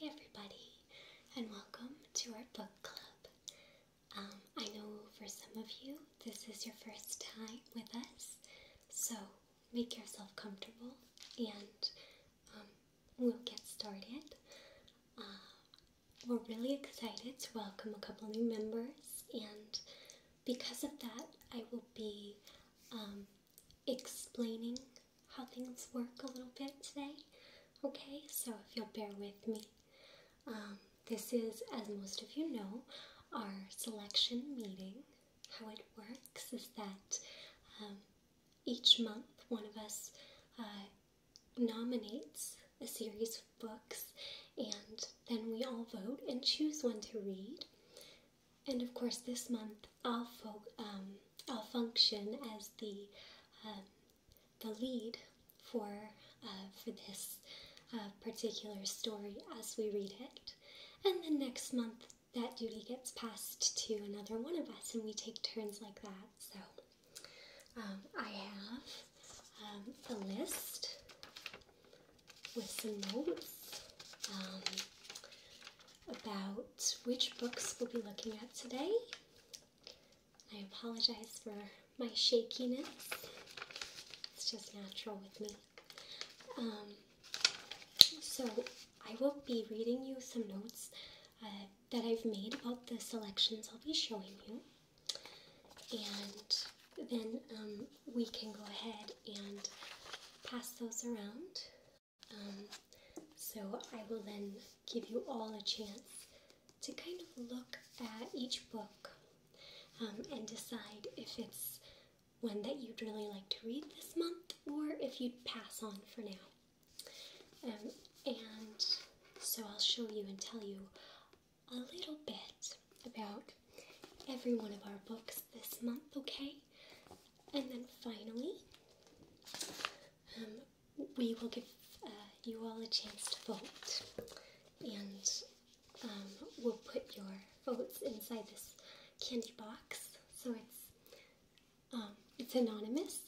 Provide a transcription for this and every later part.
Hi everybody and welcome to our book club. Um, I know for some of you this is your first time with us, so make yourself comfortable and um, we'll get started. Uh, we're really excited to welcome a couple new members and because of that I will be um, explaining how things work a little bit today. Okay, so if you'll bear with me, um, this is, as most of you know, our selection meeting. How it works is that um, each month one of us uh, nominates a series of books, and then we all vote and choose one to read. And of course, this month I'll, um, I'll function as the um, the lead for uh, for this uh, particular story as we read it, and the next month that duty gets passed to another one of us, and we take turns like that. So um, I have um, a list with some notes. Um, about which books we'll be looking at today. I apologize for my shakiness. It's just natural with me. Um, so I will be reading you some notes uh, that I've made about the selections I'll be showing you. And then um, we can go ahead and pass those around um, so I will then give you all a chance to kind of look at each book um, and decide if it's one that you'd really like to read this month or if you'd pass on for now. Um, and so I'll show you and tell you a little bit about every one of our books this month, okay? And then finally, um, we will give uh, you all a chance to vote. And um, we'll put your votes inside this candy box so it's um, it's anonymous.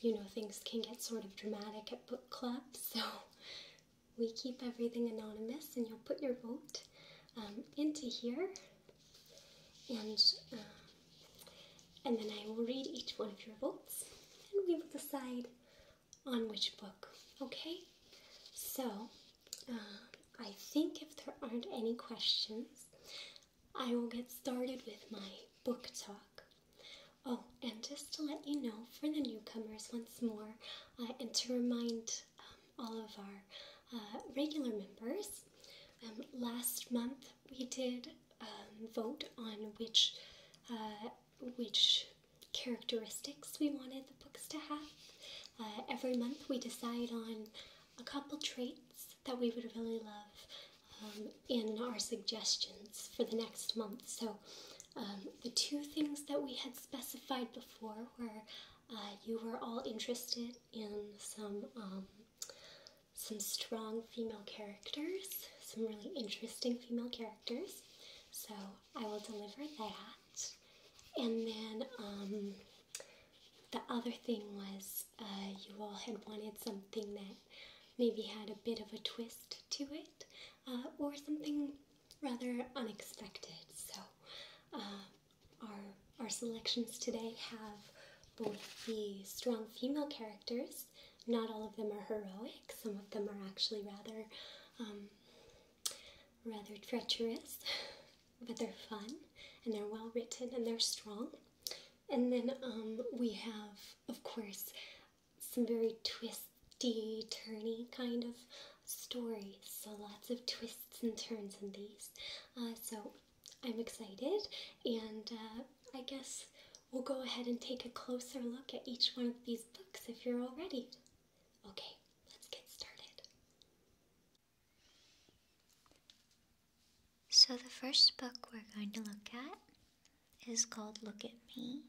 You know, things can get sort of dramatic at book club, so we keep everything anonymous and you'll put your vote into here and uh, and then I will read each one of your books, and we will decide on which book. Okay, so uh, I think if there aren't any questions, I will get started with my book talk. Oh, and just to let you know for the newcomers once more, and to remind. Um, all of our uh, regular members. Um, last month we did um, vote on which uh, which characteristics we wanted the books to have. Uh, every month we decide on a couple traits that we would really love um, in our suggestions for the next month. So the two things that we had specified before were you were all interested in some um, some strong female characters, some really interesting female characters. So I will deliver that. And then um, the other thing was uh, you all had wanted something that maybe had a bit of a twist to it uh, or something rather unexpected. So um, our, our selections today have both the strong female characters. Not all of them are heroic. Some of them are actually rather, um, rather treacherous, but they're fun and they're well written and they're strong. And then um, we have, of course, some very twisty, turny kind of stories. So lots of twists and turns in these. Uh, so I'm excited, and uh, I guess we'll go ahead and take a closer look at each one of these books if you're all ready. Okay, let's get started. So, the first book we're going to look at is called Look at Me.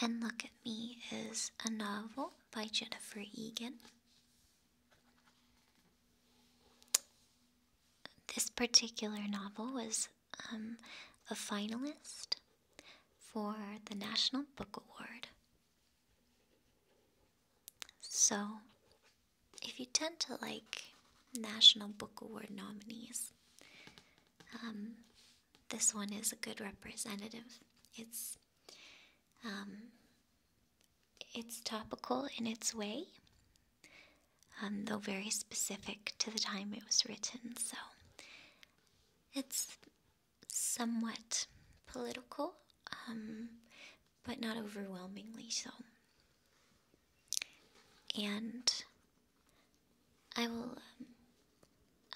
And Look at Me is a novel by Jennifer Egan. This particular novel was um, a finalist for the National Book Award. So, if you tend to like National Book Award nominees, um, this one is a good representative. It's um, it's topical in its way, um, though very specific to the time it was written, so it's somewhat political, um, but not overwhelmingly so. And I will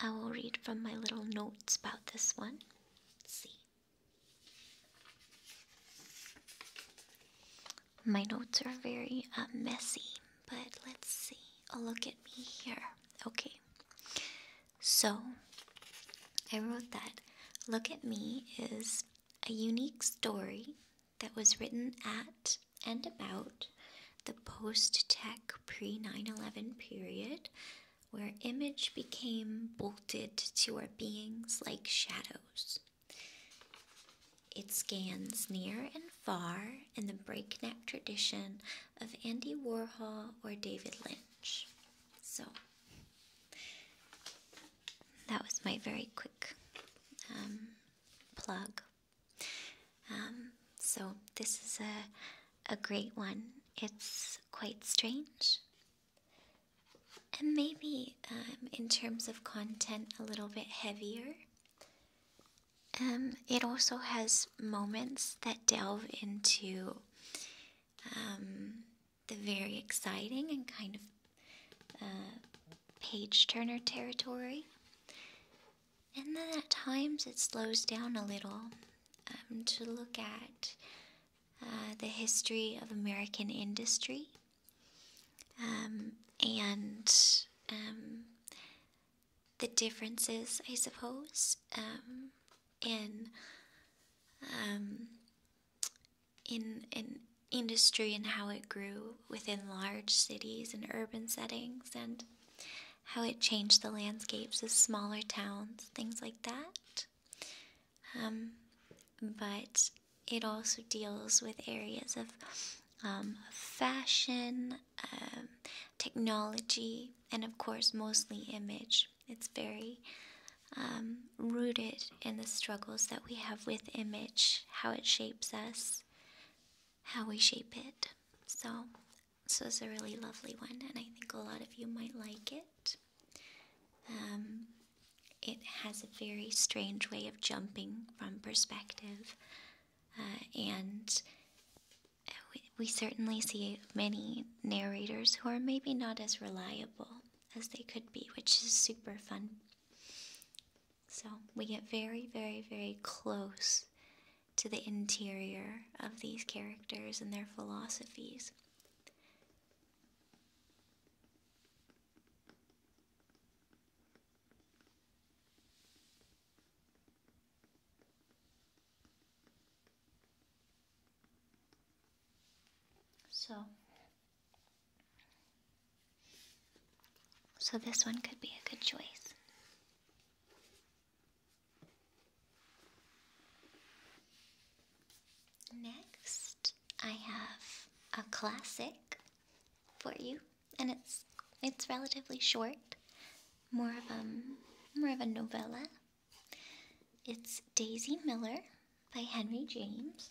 I will read from my little notes about this one. see. My notes are very uh, messy, but let's see. Oh, look at me here. Okay. So, I wrote that Look at Me is a unique story that was written at and about the post tech pre 9 11 period where image became bolted to our beings like shadows. It scans near and far in the breakneck tradition of Andy Warhol or David Lynch. So, that was my very quick um, plug. Um, so, this is a a great one. It's quite strange. And maybe um, in terms of content, a little bit heavier. Um, it also has moments that delve into um, the very exciting and kind of uh, page turner territory. And then at times it slows down a little um, to look at uh, the history of American industry um, and um, the differences, I suppose, in in industry and how it grew within large cities and urban settings and how it changed the landscapes of smaller towns, things like that. Um, but it also deals with areas of um, fashion, um, technology, and of course, mostly image. It's very rooted in the struggles that we have with image, how it shapes us, how we shape it. So so it's a really lovely one, and I think a lot of you might like it. Um, it has a very strange way of jumping from perspective, uh, and uh, we certainly see many narrators who are maybe not as reliable as they could be, which is super fun. So we get very, very, very close to the interior of these characters and their philosophies. So, so this one could be a good choice. Next, I have a classic for you, and it's it's relatively short, more of a um, more of a novella. It's Daisy Miller by Henry James,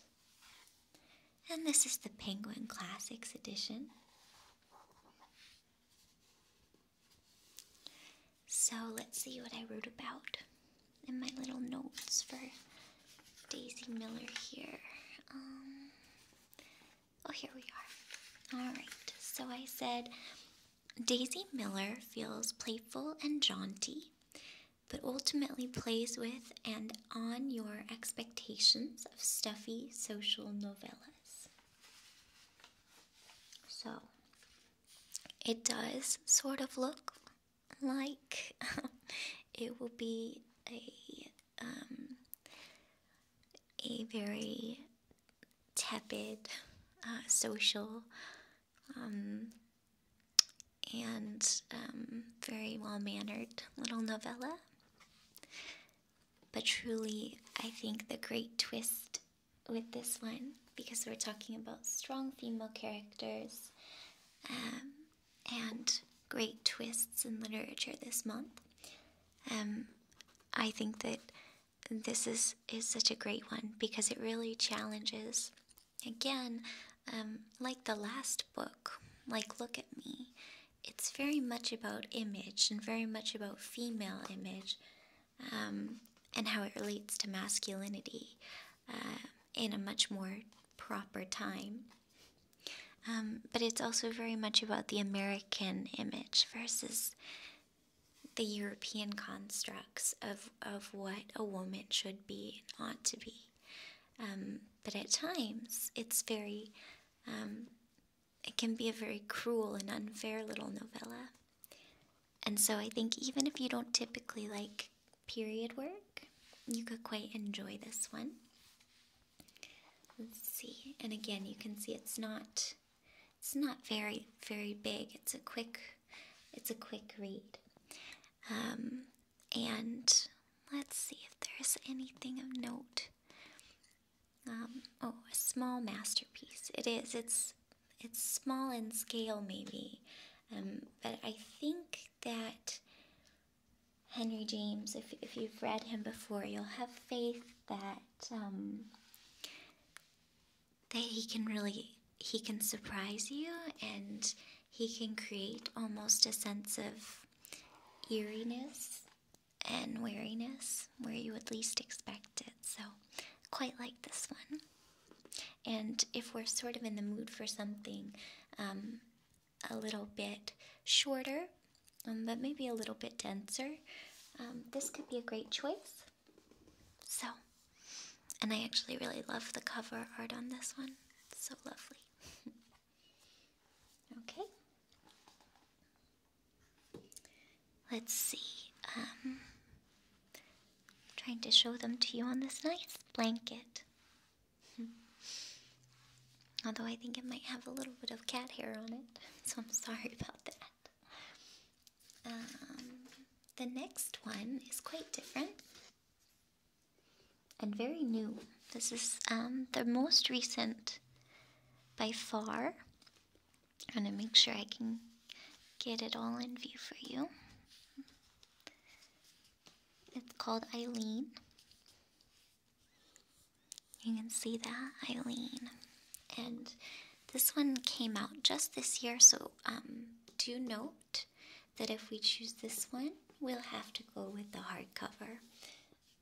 and this is the Penguin Classics edition. So let's see what I wrote about in my little notes for Daisy Miller here. Um, oh, here we are. Alright, so I said Daisy Miller feels playful and jaunty, but ultimately plays with and on your expectations of stuffy social novellas. So it does sort of look like it will be a um, a very tepid uh, social um, and um, very well mannered little novella. But truly, I think the great twist with this one because we're talking about strong female characters um, and great twists in literature this month. Um, I think that this is, is such a great one because it really challenges, again, um, like the last book, like Look at Me. It's very much about image and very much about female image, um, and how it relates to masculinity uh, in a much more proper time. Um, but it's also very much about the American image versus the European constructs of, of what a woman should be and ought to be. Um, but at times, it's very, it can be a very cruel and unfair little novella. And so I think even if you don't typically like period work, you could quite enjoy this one. Let's see. And again, you can see it's not it's not very very big. It's a quick it's a quick read. Um, and let's see if there's anything of note. Um, oh, a small masterpiece. It is. It's it's small in scale maybe um, but i think that henry james if, if you've read him before you'll have faith that um, that he can really he can surprise you and he can create almost a sense of eeriness and wariness where you would least expect so quite like this one. And if we're sort of in the mood for something um, a little bit shorter, um, but maybe a little bit denser, um, this could be a great choice. So, and I actually really love the cover art on this one. It's so lovely. okay. Let's see. I'm um, trying to show them to you on this nice blanket. Although I think it might have a little bit of cat hair on it, so I'm sorry about that. Um, the next one is quite different and very new. This is um, the most recent by far I'm going to make sure I can get it all in view for you. It's called Eileen. You can see that, Eileen. And this one came out just this year, so um, do note that if we choose this one, we'll have to go with the hardcover,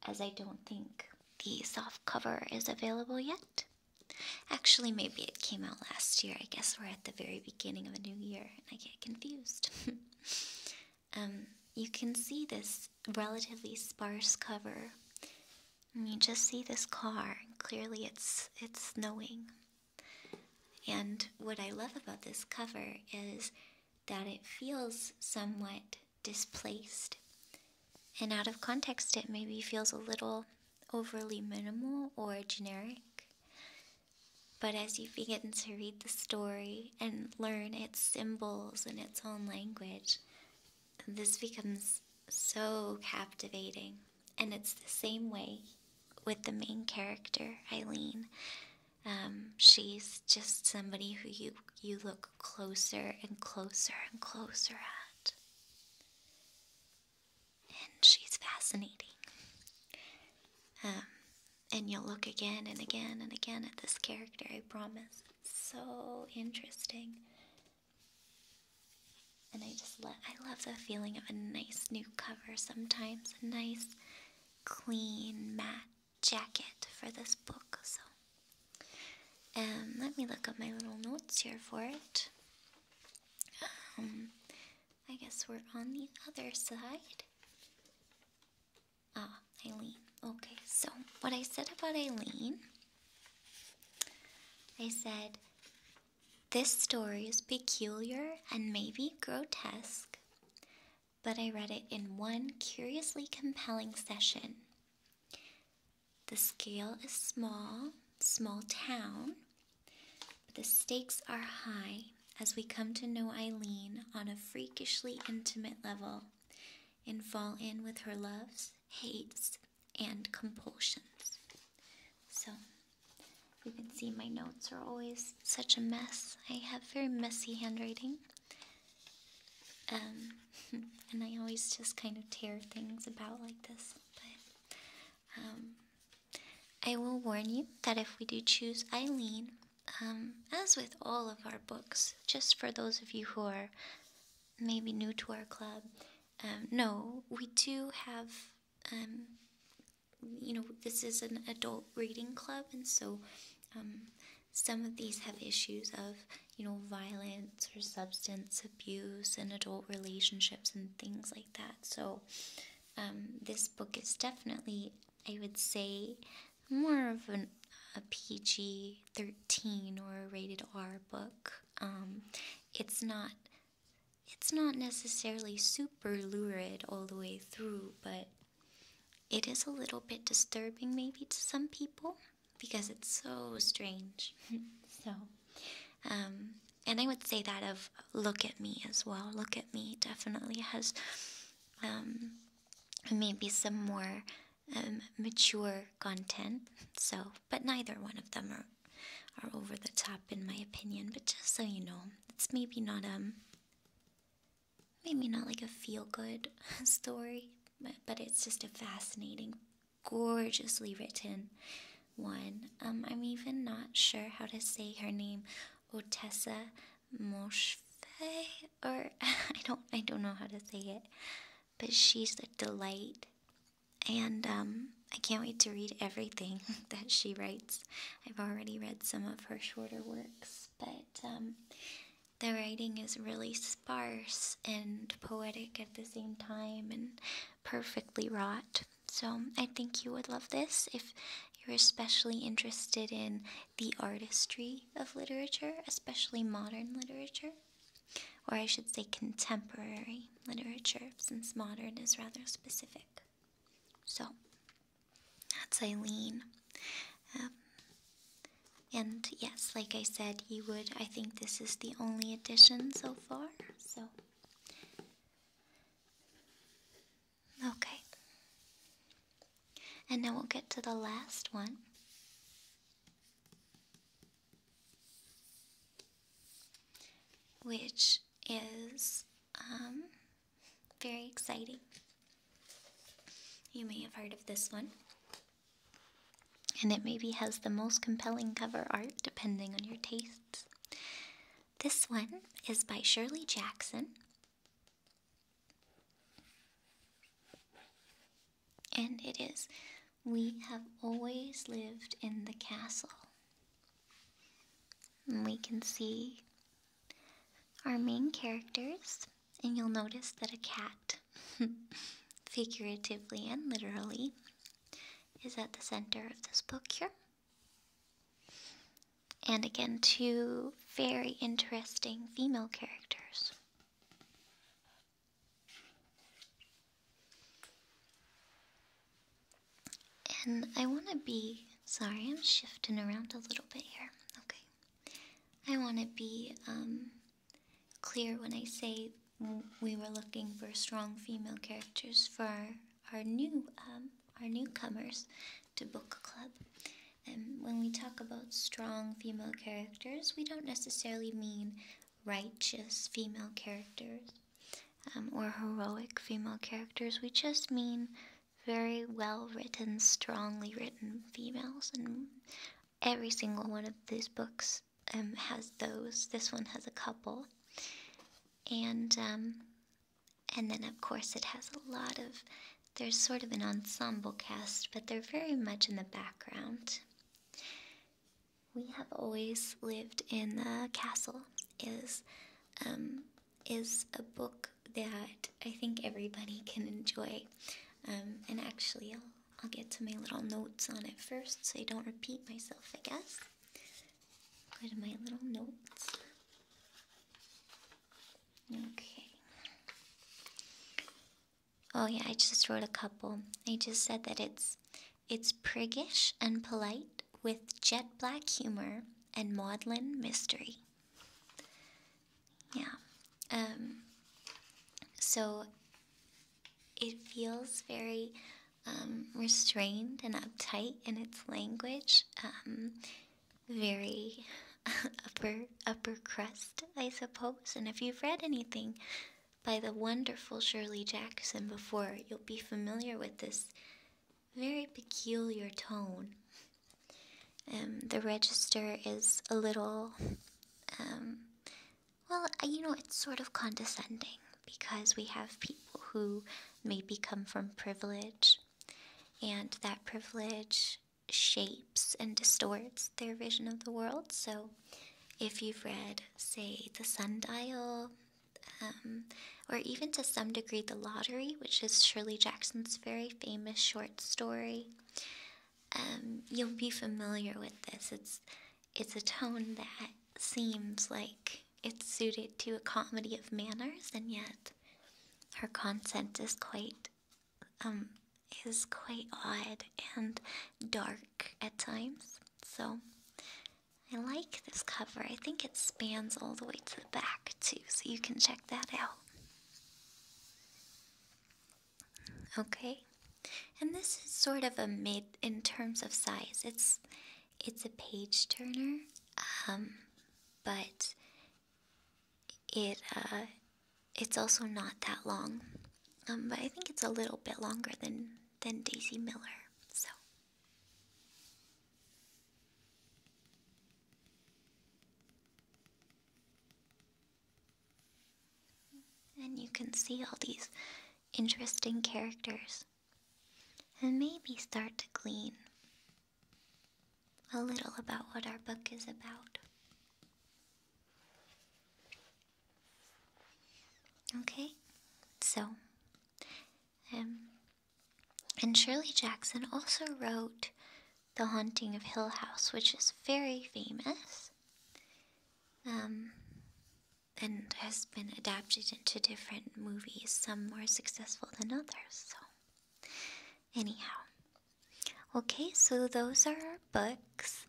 as I don't think the soft cover is available yet. Actually, maybe it came out last year. I guess we're at the very beginning of a new year and I get confused. Um, you can see this relatively sparse cover. And you just see this car. Clearly, it's it's snowing. And what I love about this cover is that it feels somewhat displaced. And out of context, it maybe feels a little overly minimal or generic. But as you begin to read the story and learn its symbols in its own language, this becomes so captivating. And it's the same way with the main character, Eileen. Um, she's just somebody who you, you look closer and closer and closer at and she's fascinating. Um, and you'll look again and again and again at this character, I promise. It's so interesting. And I just love, I love the feeling of a nice new cover sometimes, a nice clean matte jacket for this book. So, um, let me look up my little notes here for it. Um, I guess we're on the other side. Ah, Eileen. Okay, so what I said about Eileen, I said, this story is peculiar and maybe grotesque, but I read it in one curiously compelling session. The scale is small, small town, but the stakes are high as we come to know Eileen on a freakishly intimate level and fall in with her loves, hates, and compulsions. So, you can see my notes are always such a mess. I have very messy handwriting. Um, and I always just kind of tear things about like this. Um, I will warn you that if we do choose Eileen, um, as with all of our books, just for those of you who are maybe new to our club, um, no, we do have, you know, this is an adult reading club, and so some of these have issues of, you know, violence or substance abuse and adult relationships and things like that. So, um, this book is definitely, I would say, more of a PG 13 or a rated R book. Um, it's not. It's not necessarily super lurid all the way through, but it is a little bit disturbing maybe to some people because it's so strange. so um, and I would say that of look at me as well. Look at me definitely has um, maybe some more um, mature content. So, but neither one of them are are over the top in my opinion. But just so you know, it's maybe not um maybe not like a feel good story, but, but it's just a fascinating gorgeously written one. Um, I'm even not sure how to say her name, Otessa Moshfe, or I don't I don't know how to say it, but she's a delight, and um, I can't wait to read everything that she writes. I've already read some of her shorter works, but um, the writing is really sparse and poetic at the same time, and perfectly wrought. So I think you would love this if you're especially interested in the artistry of literature, especially modern literature. Or I should say contemporary literature, since modern is rather specific. So, that's Eileen. Um, and yes, like I said, you would. I think this is the only edition so so Okay. And now we'll get to the last one. Which is um, very exciting. You may have heard of this one and it maybe has the most compelling cover art depending on your tastes. This one is by Shirley Jackson. And it is, We have always lived in the castle. And we can see our main characters, and you'll notice that a cat, figuratively and literally, is at the center of this book here. And again, two very interesting female characters. And I want to be, sorry, I'm shifting around a little bit here. Okay. I want to be um, clear when I say we were looking for strong female characters for our, new um, our newcomers to book club. And when we talk about strong female characters, we don't necessarily mean righteous female characters um, or heroic female characters. We just mean very well written, strongly written females. And every single one of these books um, has those. This one has a couple, and um, and then of course it has a lot of. There's sort of an ensemble cast, but they're very much in the background. We have always lived in the castle. Is um, is a book that I think everybody can enjoy. and actually, I'll get to my little notes on it first so I don't repeat myself, I guess. Go to my little notes. Okay. Oh yeah, I just wrote a couple. I just said that it's it's priggish and polite with jet black humor and maudlin mystery. Yeah. Um so it feels very um, restrained and uptight in its language, um, very upper upper crust, I suppose. And if you've read anything by the wonderful Shirley Jackson before, you'll be familiar with this very peculiar tone. Um, the register is a little well, you know, it's sort of condescending because we have people who maybe come from privilege, and that privilege shapes and distorts their vision of the world. So, if you've read, say, The Sundial, um, or even to some degree The Lottery, which is Shirley Jackson's very famous short story, um, you'll be familiar with this. It's it's a tone that seems like it's suited to a comedy of manners, and yet her content is quite um, is quite odd and dark at times. So I like this cover. I think it spans all the way to the back too, so you can check that out. Okay, and this is sort of a mid in terms of size. It's it's a page turner, um, but it uh, it's also not that long. Um, but I think it's a little bit longer than than Daisy Miller. So. And you can see all these interesting characters and maybe start to glean a little about what our book is about. Okay, so, um, and Shirley Jackson also wrote The Haunting of Hill House, which is very famous. Um, and has been adapted into different movies, some more successful than others. So, anyhow, okay, so those are our books.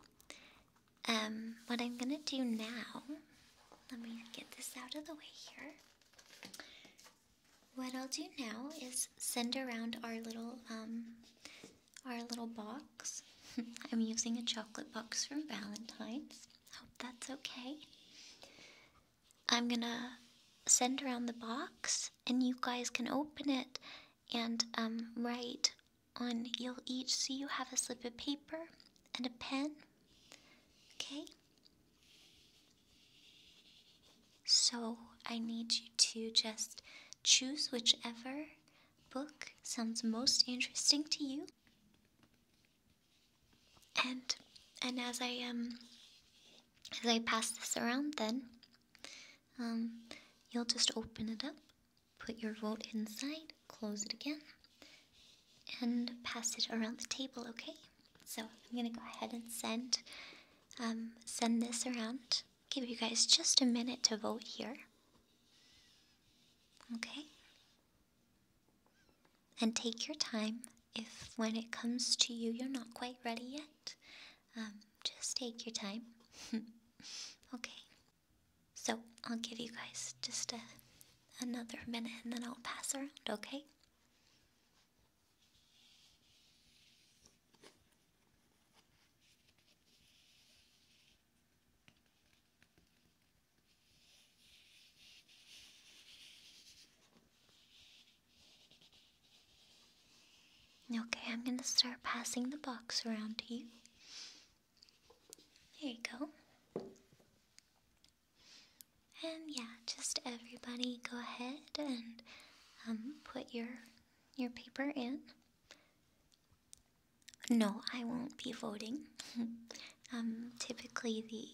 Um, what I'm gonna do now, let me get this out of the way here. What I'll do now is send around our little um, our little box. I'm using a chocolate box from Valentine's. Hope that's okay. I'm gonna send around the box, and you guys can open it and um, write on. You'll each see you have a slip of paper and a pen. Okay? So I need you to just choose whichever book sounds most interesting to you and and as I um as I pass this around, then um, you'll just open it up, put your vote inside, close it again, and pass it around the table. Okay. So I'm gonna go ahead and send um, send this around. Give you guys just a minute to vote here. Okay. And take your time. If when it comes to you, you're not quite ready yet, um, just take your time. okay. So I'll give you guys just a, another minute and then I'll pass around, okay? Okay, I'm going to start passing the box around to you. There you go. And yeah, just everybody go ahead and um, put your your paper in. No, I won't be voting. Um, typically, the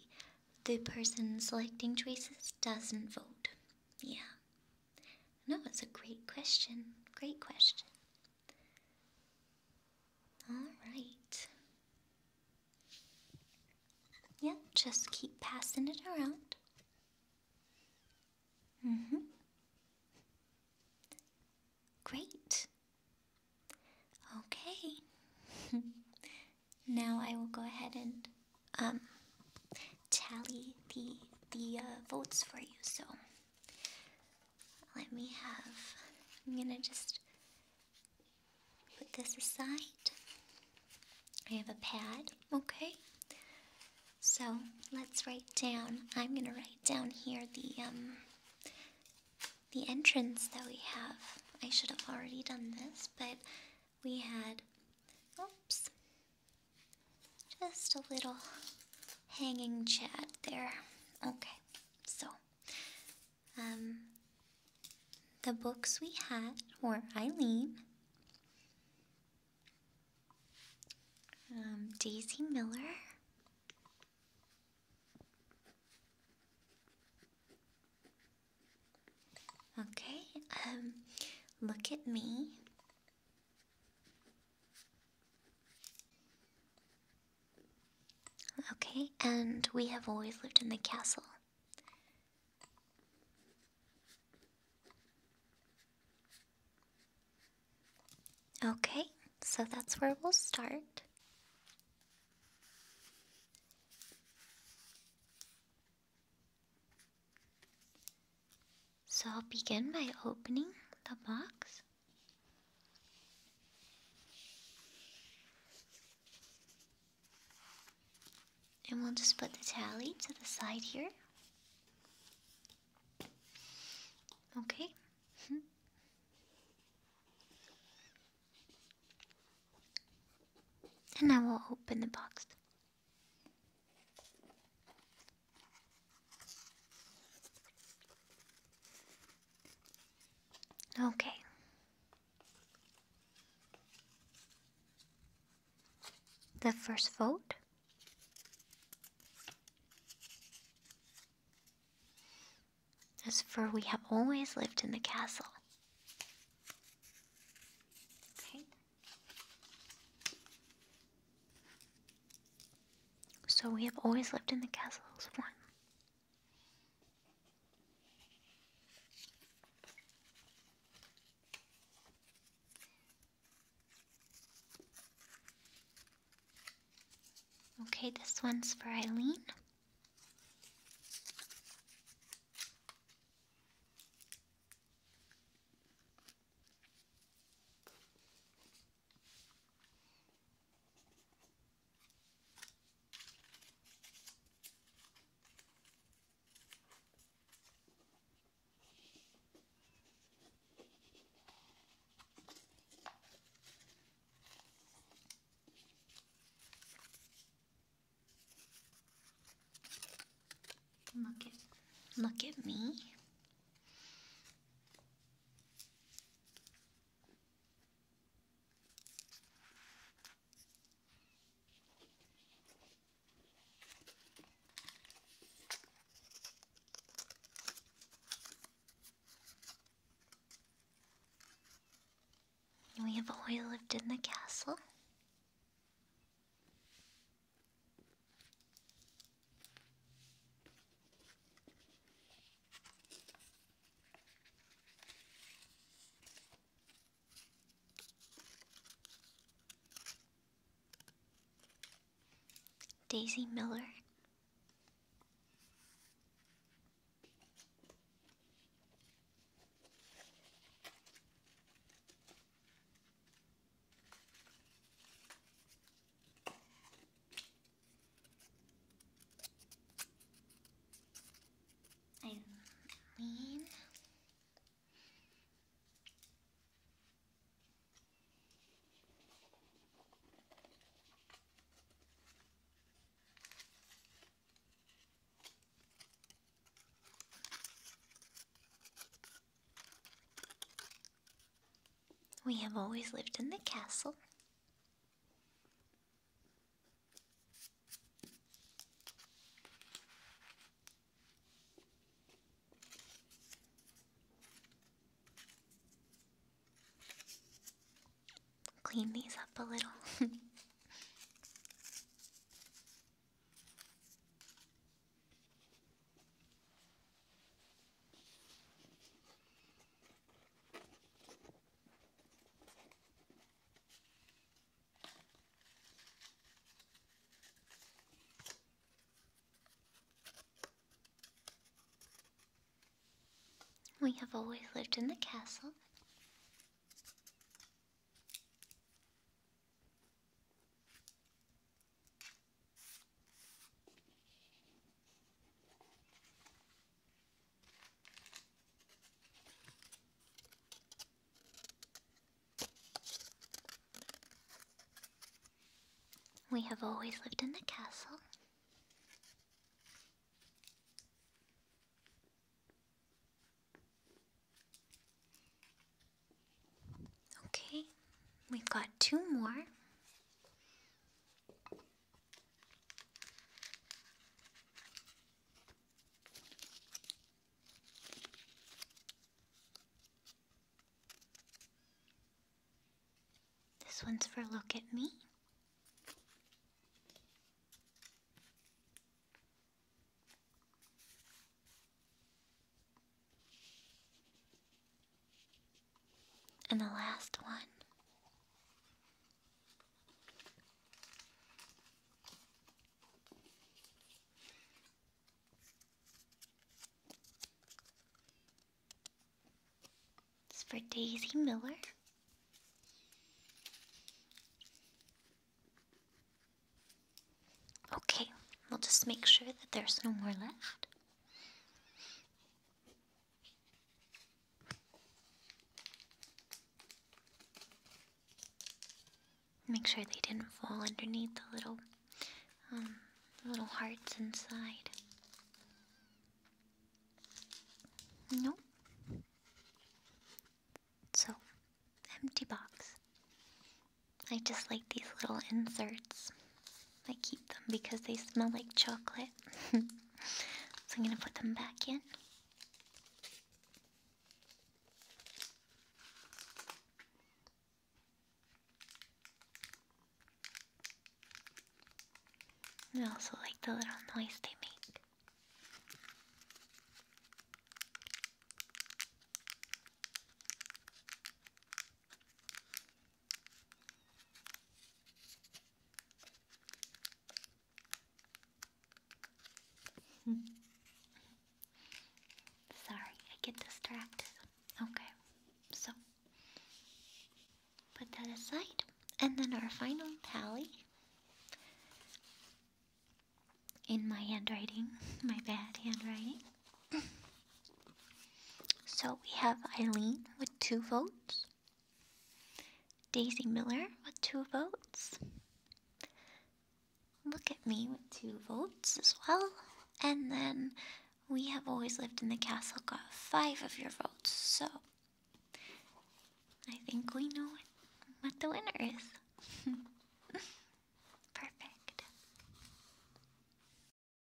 the person selecting choices doesn't vote. Yeah. No, it's a great question. Great question. All right. Yep, yeah, just keep passing it around. Mm hmm. Great. Okay. now I will go ahead and um tally the the uh, votes for you. So let me have. I'm gonna just put this aside. I have a pad. Okay. So let's write down. I'm gonna write down here the um the entrance that we have. I should have already done this, but we had, oops, just a little hanging chat there. Okay, so, um, the books we had were Eileen, um, Daisy Miller, Okay, um, look at me. Okay, and we have always lived in the castle. Okay, so that's where we'll start. So I'll begin by opening the box. And we'll just put the tally to the side here. Okay, Hmm. and I will open the box. Okay. The first vote as for we have always lived in the castle. So we have always lived in the castle one. Okay, this one's for Eileen. Look at look at me. We have always lived in the castle. Daisy Miller I mean. We have always lived in the castle. Clean these up a little. We have always lived in the castle. We have always lived in the castle. Okay, we've got two more. This one's for Look at Me. And the last one. It's for Daisy Miller. Okay, we'll just make sure that there's no more left. Make sure they didn't fall underneath the little, um, little hearts inside. Nope. So, empty box. I just like these little inserts. I keep them because they smell like chocolate. so I'm gonna put them back in. I also like the little noise they make. Sorry, I get distracted. Okay, so Put that aside. And then our final tally. In my handwriting, my bad handwriting. so we have Eileen with two votes, Daisy Miller with two votes. Look at me with two votes as well. And then we have always lived in the castle got five of your votes. So I think we know what the winner is. Perfect.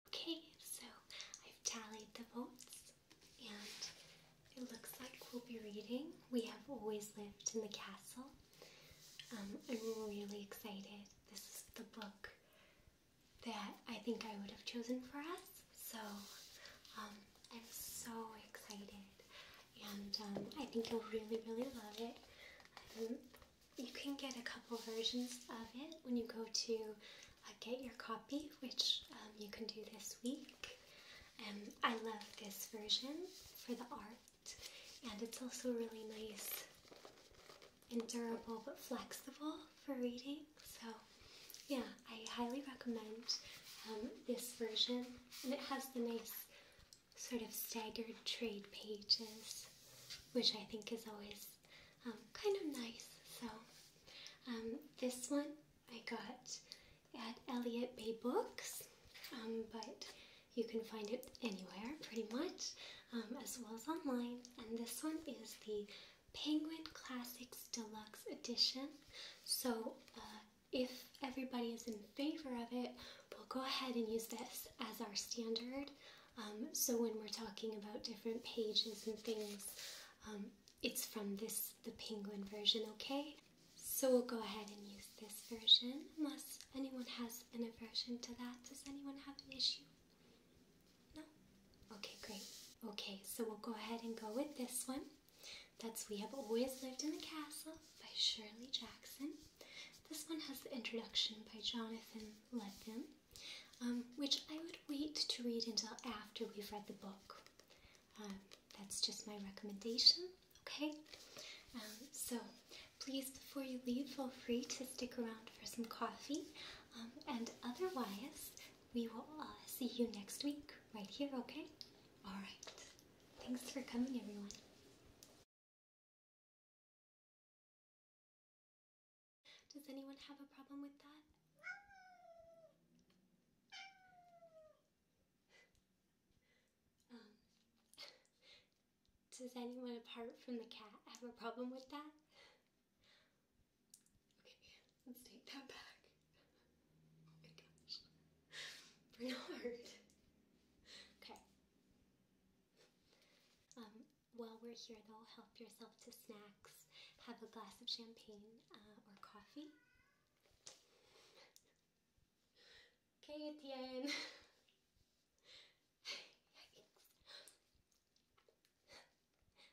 Okay, so I've tallied the votes, and it looks like we'll be reading We Have Always Lived in the Castle. Um, I'm really excited. This is the book that I think I would have chosen for us. So um, I'm so excited, and um, I think you'll really, really love it. Um, you can get a couple versions of it when you go to uh, get your copy, which you can do this week. Um, I love this version for the art, and it's also really nice and durable but flexible for reading. So, yeah, I highly recommend um, this version, and it has the nice sort of staggered trade pages, which I think is always um, kind of nice. So, um, this one I got at Elliott Bay Books, but you can find it anywhere pretty much, as well as online. And this one is the Penguin Classics Deluxe Edition. So uh, if everybody is in favor of it, we'll go ahead and use this as our standard. Um, so when we're talking about different pages and things, um, it's from this, the Penguin version, okay? So we'll go ahead and use this version, unless anyone has an aversion to that. Does anyone have an issue? No? Okay, great. Okay, so we'll go ahead and go with this one. That's We Have Always Lived in the Castle by Shirley Jackson. This one has the introduction by Jonathan Lethem, um, which I would wait to read until after we've read the book. Um, that's just my recommendation, okay? Um, so please, before you leave, feel free to stick around for some coffee. and otherwise, we will uh, see you next week right here, okay? Alright. Thanks for coming, everyone. Does anyone have a problem with that? Um, does anyone apart from the cat have a problem with that? Okay, let's take that back. Oh my gosh. Bernard. Okay. Um, while we're here though, help yourself to snacks. Have a glass of champagne uh, or coffee. Okay, Etienne.